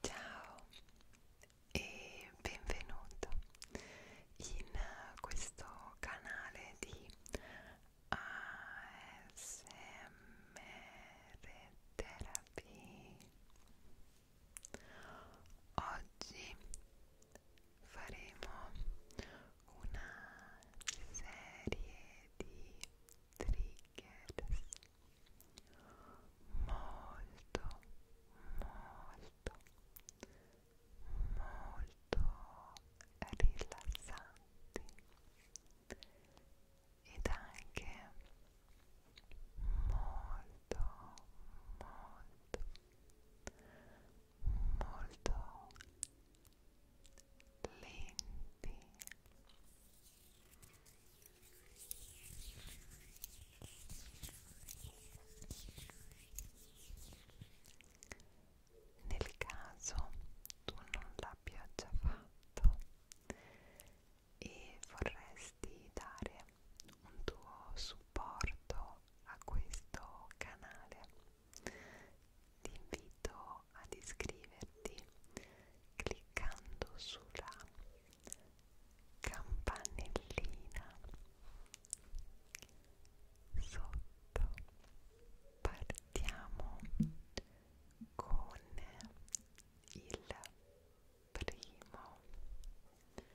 Ciao e benvenuto in questo canale di ASMR Therapy. Oggi faremo una serie di triggers molto molto molto rilassanti ed anche molto molto molto lenti nel caso tu non l'abbia già fatto e vorresti dare un tuo supporto a questo canale, ti invito invito ad iscriverti cliccando sulla campanellina sotto partiamo con il primo nuovo trigger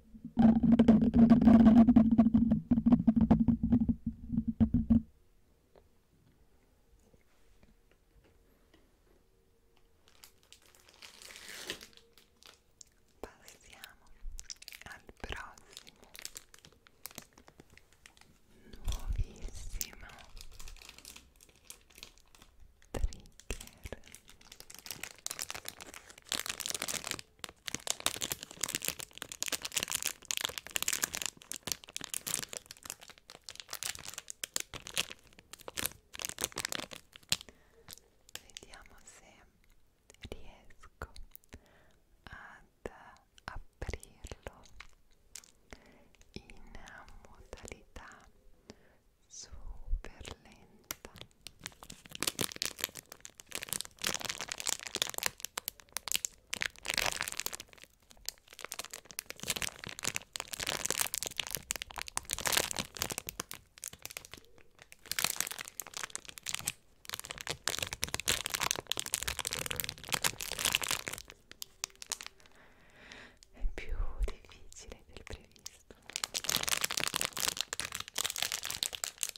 Passiamo al prossimo nuovissimo trigger Vediamo se riesco ad aprirlo in modalità super lenta è più difficile del previsto.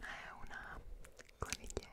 è una coniglietta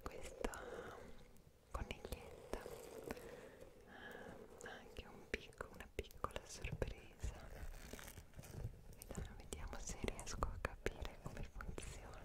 questa coniglietta ha eh, anche un picco, una piccola sorpresa vediamo, vediamo se riesco a capire come funziona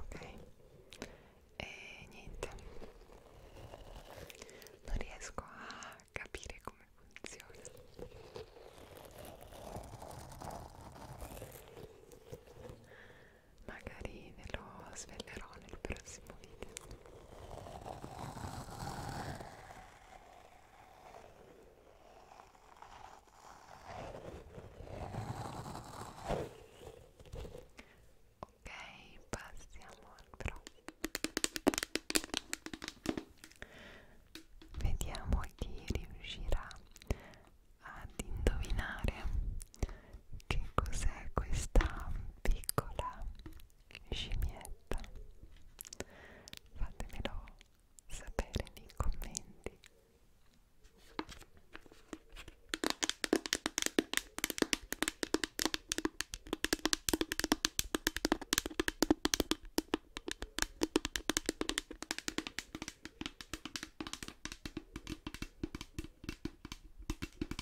ok e niente non riesco a capire come funziona magari ve lo svelerò nel prossimo video Ok, passiamo al pro. Vediamo chi riuscirà ad indovinare che cos'è questa piccola scimmietta fatemelo sapere nei commenti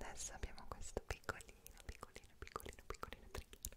Adesso abbiamo questo piccolino, piccolino, piccolino, piccolino trigger.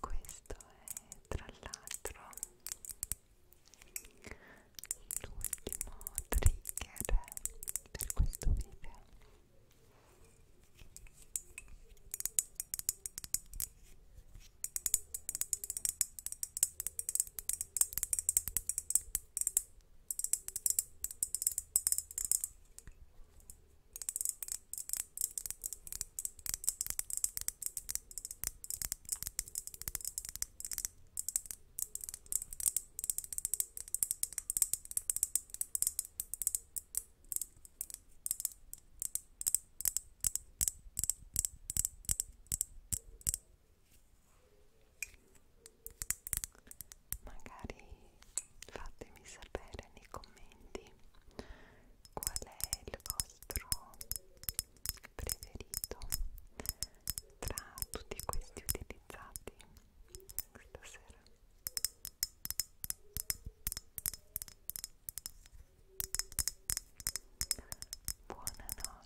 Questo è tra l'altro l'ultimo trigger per questo video Magari fatemi sapere nei commenti qual è il vostro preferito tra tutti questi utilizzati stasera buonanotte